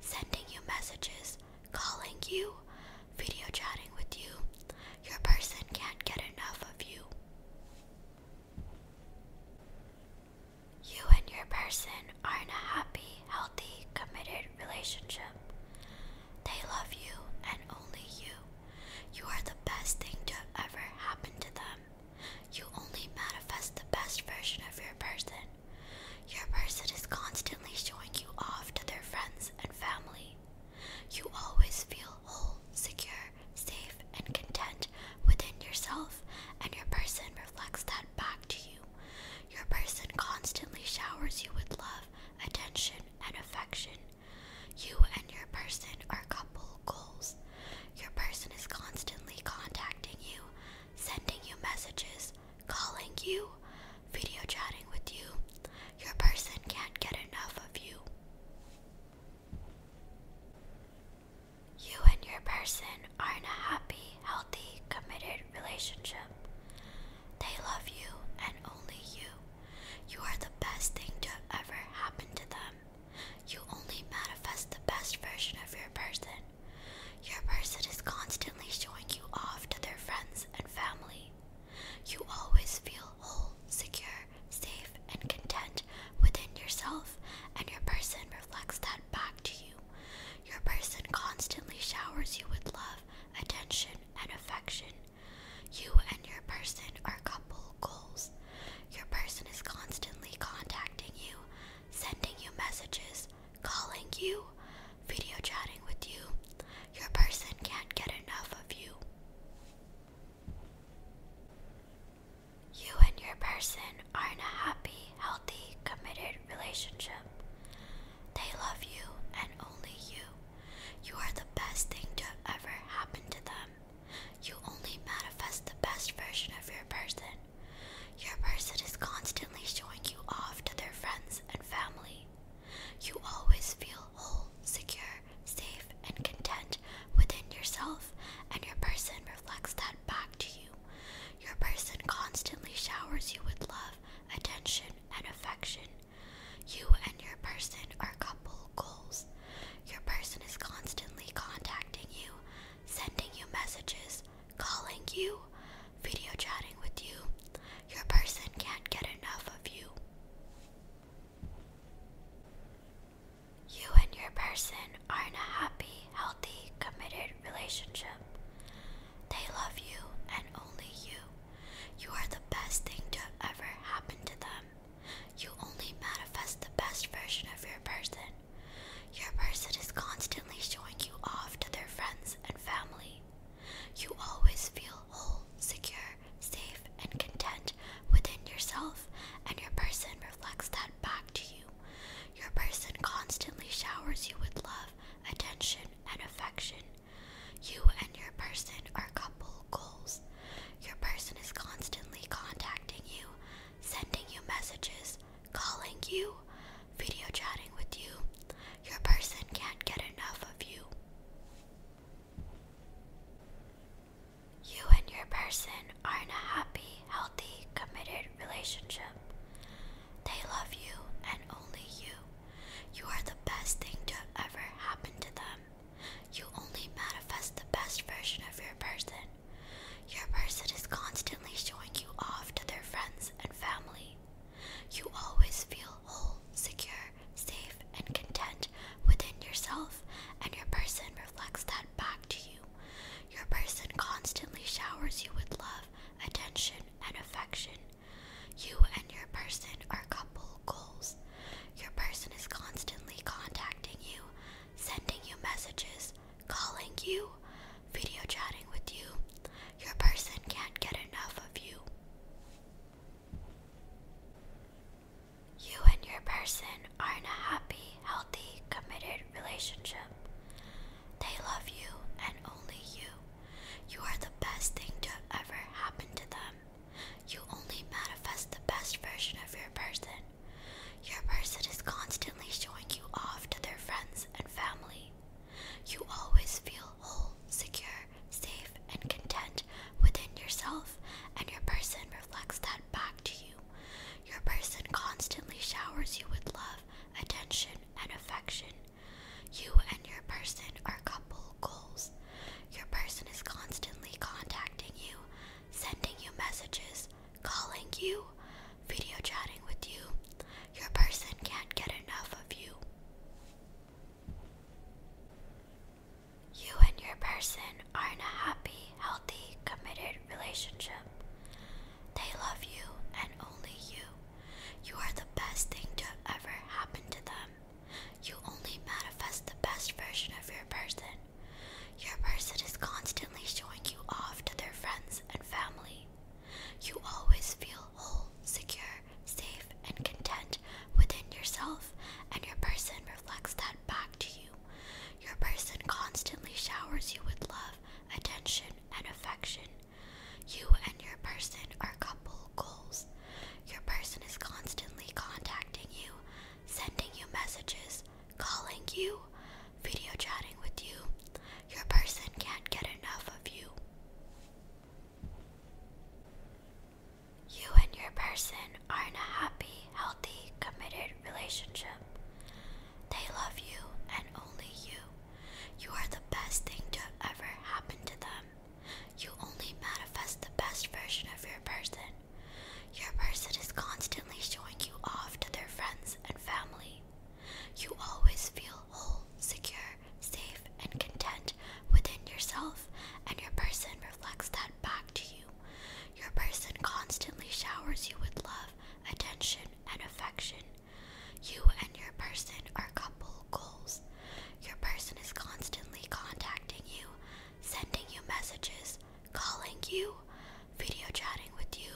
sending you messages, calling you, video chatting with you. Your person can't get enough of you. You and your person are in a happy, healthy, committed relationship. They love you and only you. You are the best thing to ever happen to them. You only manifest the best version of your person. Your person is constantly showing you off to their friends and family. You always feel whole, secure, safe, and content within yourself, and your person reflects that back to you. Your person constantly showers you with love, attention, and affection. You and your person are couple goals. Your person is constantly contacting you, sending you messages, calling you, video chatting with you. Your person can't get enough of you. You and your person are in a happy, healthy, committed relationship. They love you and only you. You are the best thing to ever happen to them. You only manifest the best version of your person. Your person is constantly showing you off to their friends and family. You always feel whole, secure, safe, and content within yourself, and your person reflects that back to you. Your person constantly showers you with love, attention, and affection. You and your person are couple goals. Your person is constantly contacting you, sending you messages, calling you, video chatting with you. Your person can't get enough of you. You and your person are in a happy, healthy, committed relationship. They love you and only you. You are the best thing to ever happen to them. You only manifest the best version of your person. Your person is constantly showing you off to their friends and family. You always feel whole, secure, safe, and content within yourself, and your person reflects that back to you. Your person constantly showers you with love, attention, and affection. You and your person are couple goals. Your person is constantly contacting you, sending you messages, calling you, video chatting with you. Your person can't get enough of you. You and your person are in a happy, healthy, committed relationship. They love you and only you. You are the best thing to ever happen to them. You only manifest the best version of your person. Your person is constantly showing you off to their friends and family. You always feel whole, secure, safe, and content within yourself, and your person reflects that back to you. Your person constantly showers you with love, attention, and affection. You and your person are couple goals. Your person is constantly contacting you, sending you messages, calling you, video chatting with you. Your person can't get enough of you. You and your person are in a happy, healthy, committed relationship. They love you and only you. You are the best thing to ever happen to them. You only manifest the best version of your person. Your person is constantly showing you off to their friends and family. You always feel whole, secure, safe, and content within yourself, and your person reflects that back to you. Your person constantly showers you with love, attention, and affection. You and your person are couple goals. Your person is constantly contacting you, sending you messages, calling you, video chatting with you. Your person can't get enough of you. You and your person are in a happy, healthy, committed relationship. They love you and only you. You are the best thing to ever happen to them. You only manifest the best version of your person. Your person is constantly showing you off to their friends and family. You always feel whole, secure, safe, and content within yourself, and your person reflects that back to you. Your person constantly showers you with love, attention, and affection. You and your person are couple goals. Your person is constantly contacting you, sending you messages, calling you, video chatting with you. Your person can't get enough of you. You and your person are in a happy, healthy, committed relationship. They love you and only you. You are the best thing to ever happen to them. You only manifest the best version of your person. Your person is constantly showing you off to their friends and family. You always feel whole, secure, safe, and content within yourself, and your person reflects that back to you. Your person constantly showers you with love, attention, and affection. You and your person are couple goals. Your person is constantly contacting you, sending you messages, calling you, video chatting with you. Your person can't get enough of you. You and your person are in happy, healthy, committed relationship. They love you and only you. You are the best thing to ever happen to them. You only manifest the best version of your person. Your person is constantly showing you off to their friends and family. You always feel whole, secure, safe, and content within yourself, and your person reflects that back to you. Your person constantly showers you with love, attention, and affection. You and your person are couple goals. Your person is constantly contacting you, sending you messages, calling you, video chatting with you.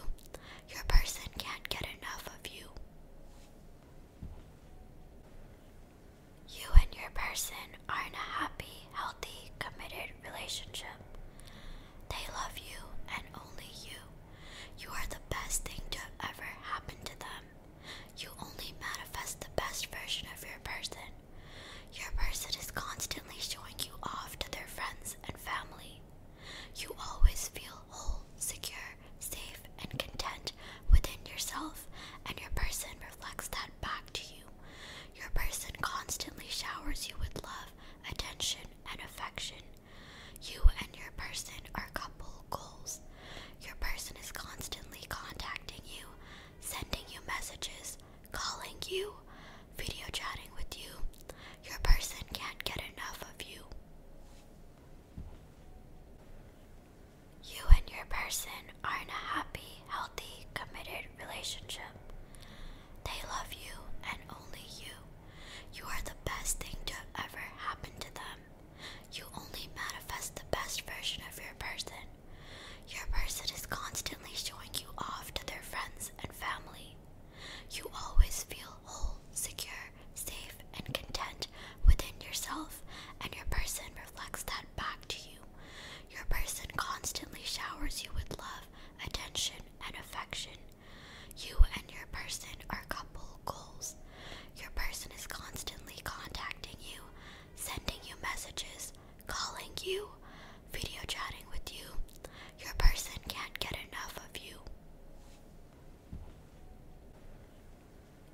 Your person can't get enough of you. You and your person are in happy, healthy, committed relationship. They love you and only you. You are the best thing to ever happen to them. You only manifest the best version of your person. Your person is constantly showing you off to their friends and family. You always feel whole, secure, safe, and content within yourself, and your person reflects that back to you. Your person constantly showers you with love, attention, and affection. You and your person are couple goals. Your person is constantly contacting you, sending you messages, calling you, video chatting with you. Your person can't get enough of you. You and your person are in a happy, healthy, committed relationship. They love you and only you. You are the best thing to ever happen to them. You only manifest the best version of your person. Your person is constantly showing you off to their friends and family. You always feel whole, secure, safe, and content within yourself, and your person reflects that back to you. Your person constantly showers you with love attention, and affection. You and your person are couple goals. Your person is constantly contacting you, sending you messages, calling you, video chatting with you. Your person can't get enough of you.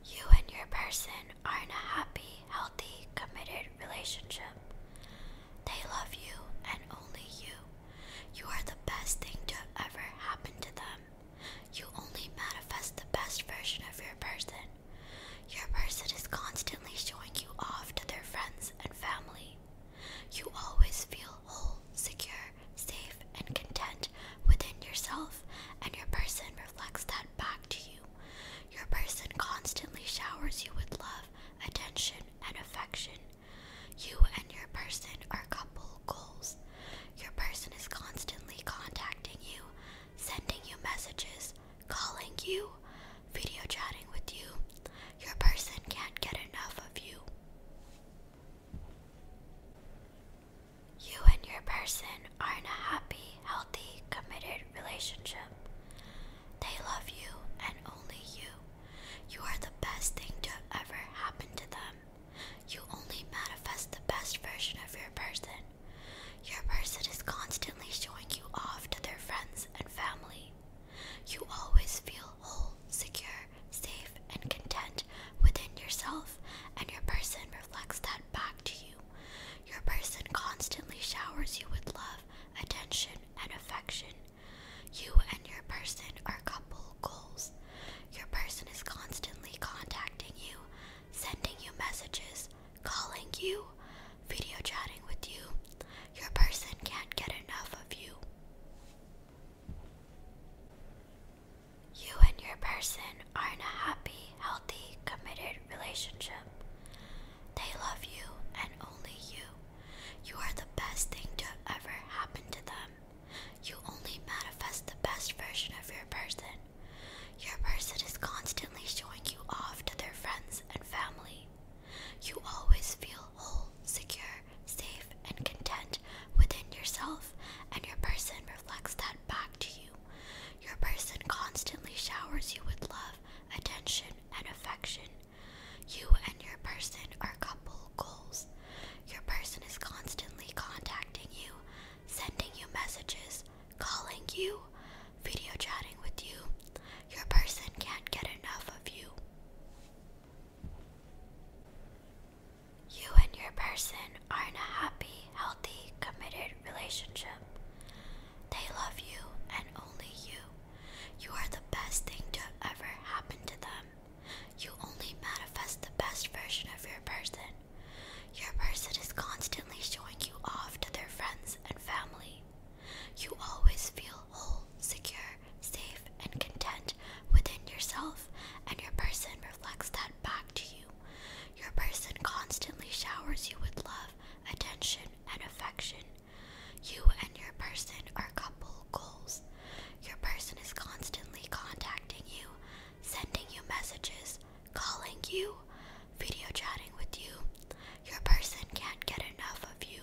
You and your person are in a happy, healthy, committed relationship. They love you and only you. You are the best thing to ever happen to them. You only manifest the best version of your person. Your person is constantly showing you off to their friends and family. You always feel whole, secure, safe, and content within yourself, and your person reflects that back to you. Your person constantly showers you with love attention, and affection. You and your person are couple goals. Your person is constantly contacting you, sending you messages, calling you, video chatting with you. Your person can't get enough of you. You and your person are in a happy, healthy, committed relationship. They love you and only you. You are the best thing to ever happen to them. You only manifest the best version of your person. Your person is constantly showing you off to their friends and family. You always feel whole, secure, safe, and content within yourself, and your person reflects that back to you. Your person constantly showers you with love, attention, and affection. You and your person are couple goals. Your person is constantly contacting you, sending you messages, calling you, video chatting with you. Your person can't get enough of you. You and your person are in a happy, healthy, committed relationship. They love you and only you. You are the best thing to ever happen to them. You only manifest the best version of your person. Your person is constantly showing you off to their friends and family. You always feel whole, secure, safe, and content within yourself, and your person reflects that back to you. Your person constantly showers you with love, attention, and affection. You and your person are couple goals. Your person is constantly contacting you, sending you messages, calling you, video chatting with you. Your person can't get enough of you. You and your person are in a happy, healthy, committed relationship. They love you and only you. You are the best thing to ever happen to them. You only manifest the best version of your person. Your person is constantly showing you off to their friends and family. You always feel whole, secure, safe, and content within yourself, and your person reflects that back to you. Your person constantly showers you with love, attention, and affection. You and your person are couple goals. Your person is constantly contacting you, sending you messages, calling you, video chatting with you. Your person can't get enough of you.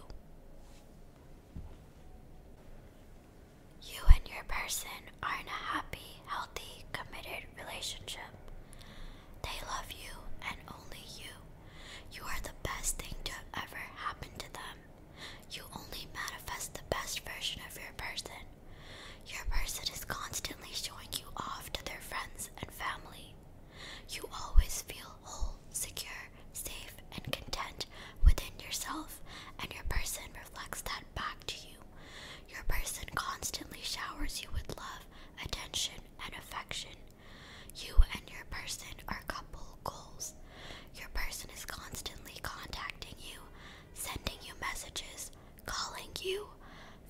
You and your person are in a happy, healthy, committed relationship. They love you and only you. You are the best thing to ever happen to them. You only manifest the best version of your person. Your person is constantly showing you off to their friends and family. You always feel whole, secure, safe, and content within yourself, and your person reflects that back to you. Your person constantly showers you with love, attention, and affection. You and your person are couple goals. Your person is constantly contacting you, sending you messages, calling you,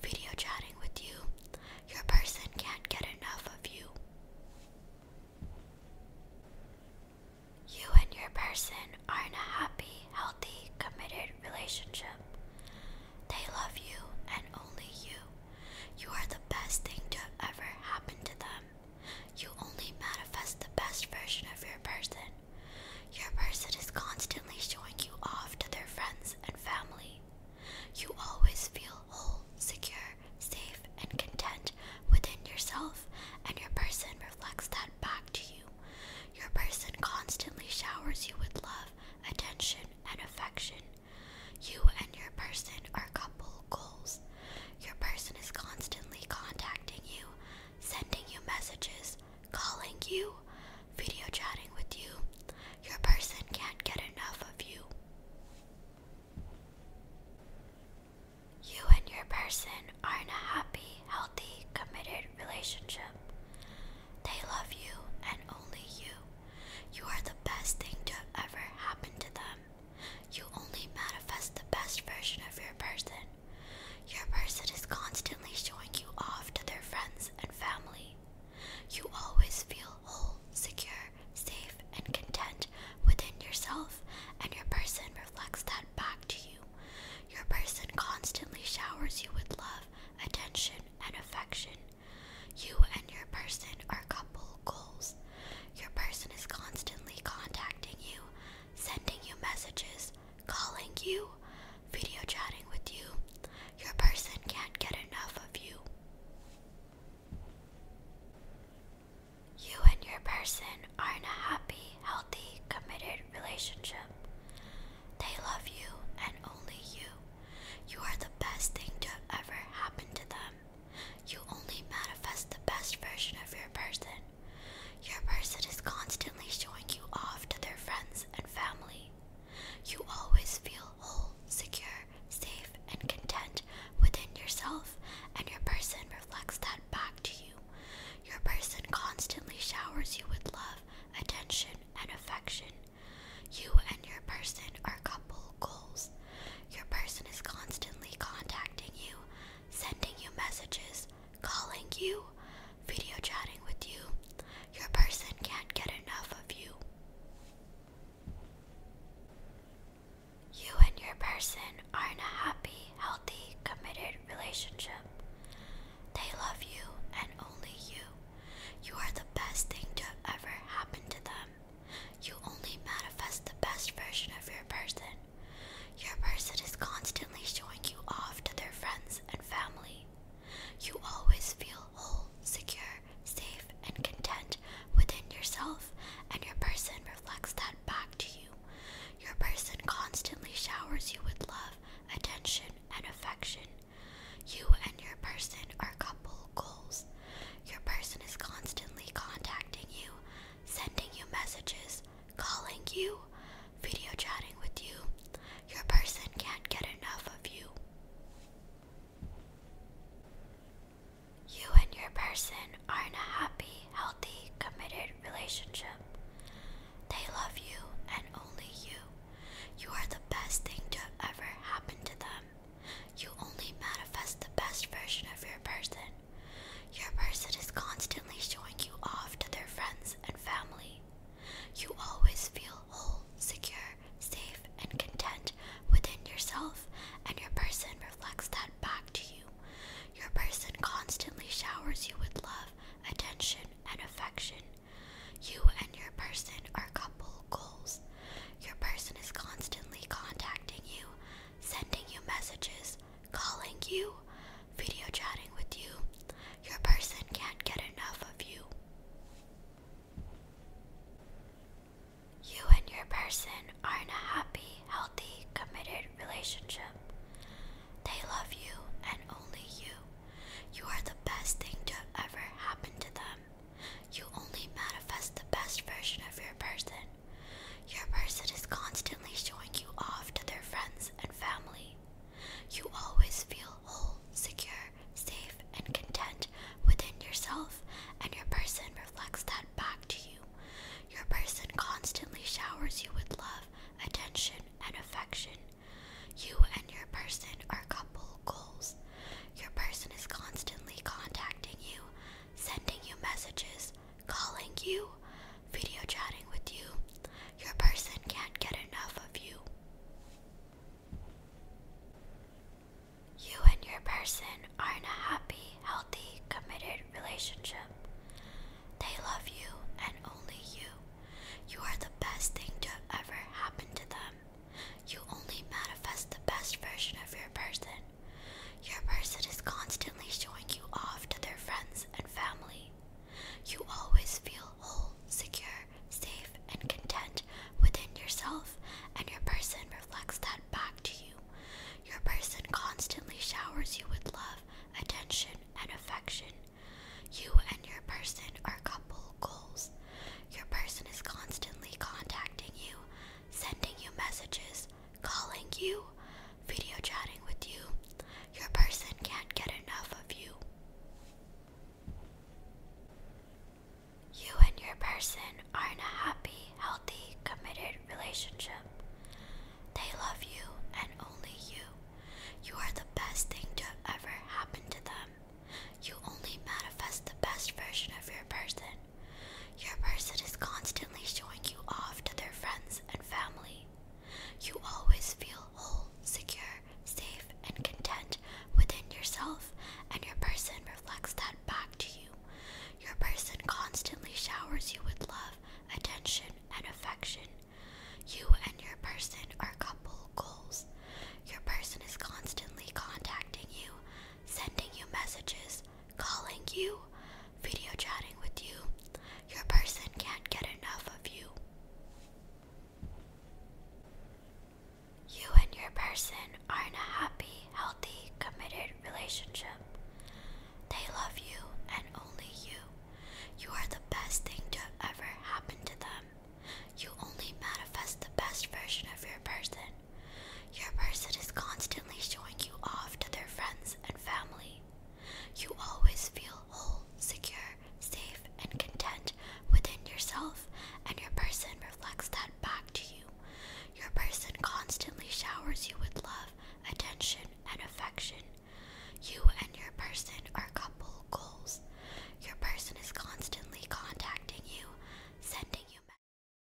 video chatting with you. Your person can't get enough of you. You and your person are in a happy, healthy, committed relationship. They love you and only you. You are the best thing to ever happen to them. You only manifest the best version of your person. Your person is constantly showing you off to their friends and family. You always feel whole, secure, safe, and content within yourself, and your person reflects that back to you. Your person constantly showers you with love, attention, and affection. You and your person are couple goals. Your person is constantly contacting you, sending you messages, calling you, video chatting with you. Your person can't get enough of you. You and your person are in a happy, healthy, committed relationship. They love you and only you. You are the best thing to ever happen to them. You only manifest the best version of your person. Your person is constantly showing you off to their friends and family. You always feel whole, secure, safe, and content within yourself, and your person reflects that back to you. Your person constantly showers you with love, attention, and affection. You and your person are couple goals. Your person is constantly contacting you, sending you messages, calling you, video chatting with you. Your person can't get enough of you. You and your person are in a happy, healthy, committed relationship. They love you and only you. You are the best thing to ever happen to them. You only manifest the best version of your person. Your person is constantly showing you off to their friends and family. You always feel whole, secure, safe, and content within yourself, and your person reflects that back to you. Your person constantly showers you with love, attention, and affection. You and your person are couple goals. Your person is constantly contacting you, sending you messages, calling you, video chatting with you. Your person can't get enough of you. You and your person are in a happy, healthy, committed relationship. They love you and only you. You are the best thing to ever happen to them. You only manifest the best version of your person. Your person is constantly showing you off to their friends and family. You always feel whole, secure, safe, and content within yourself, and your person reflects that back to you. Your person constantly showers you with love, attention, and affection. You and your person are coupled goals. Your person is constantly contacting you, sending you messages, calling you, video chatting with you. Your person can't get enough of you. You and your person are in a happy, healthy, committed relationship. They love you and only you. You are the best thing to ever happen to them. You only manifest the best version of your person. Your person is constantly showing you off to their friends and family. You always feel whole, secure, safe, and content within yourself, and your person reflects that back to you. Your person constantly showers you with love, attention, and affection. You and your person are couple goals. Your person is constantly contacting you sending you messages, calling you, video chatting with you. Your person can't get enough of you. You and your person are in a happy, healthy, committed relationship. They love you and only you. You are the best thing to ever happen to them. You only manifest the best version of your person. Your person is constantly showing you off to their friends and family. You always feel whole, secure, safe, and content within yourself, and your person reflects that back to you. Your person constantly showers you with love, attention, and affection. You and your person are couple goals. Your person is constantly contacting you, sending you messages, calling you, video chatting with you. Your person can't get enough of you. You and your person are in a happy, healthy, committed relationship. They love you and only you. You are the best thing to ever happen to them. You only manifest the best version of your person. Your person is constantly showing you off to their friends and family. You always feel whole, secure, safe, and content within yourself, and your person reflects that back to you. Your person constantly showers you with love, attention, and affection. You and your person are couple goals. Your person is constantly contacting you sending you messages, calling you, video chatting with you. Your person can't get enough of you. You and your person are in a happy, healthy, committed relationship. They love you and only you. You are the best thing to ever happen to them. You only manifest the best version of your person. Your person is constantly showing you off to their friends and family. You always feel whole, secure, safe, and content within yourself, and your person reflects that back to you. Your person constantly showers you with love, attention, and affection. You and your person are couple goals. Your person is constantly contacting you, sending you messages, calling you, video chatting with you. Your person can't get enough of you. You and your person are in a happy, healthy, committed relationship. They love you and only you. You are the best thing to ever happen to them. You only manifest the best version of your person. Your person is constantly showing you off to their friends and family. You always feel whole, secure, safe, and content within yourself, and your person reflects that back to you. Your person constantly showers you with love, attention, and affection. You and your person are couple goals. Your person is constantly contacting you, sending you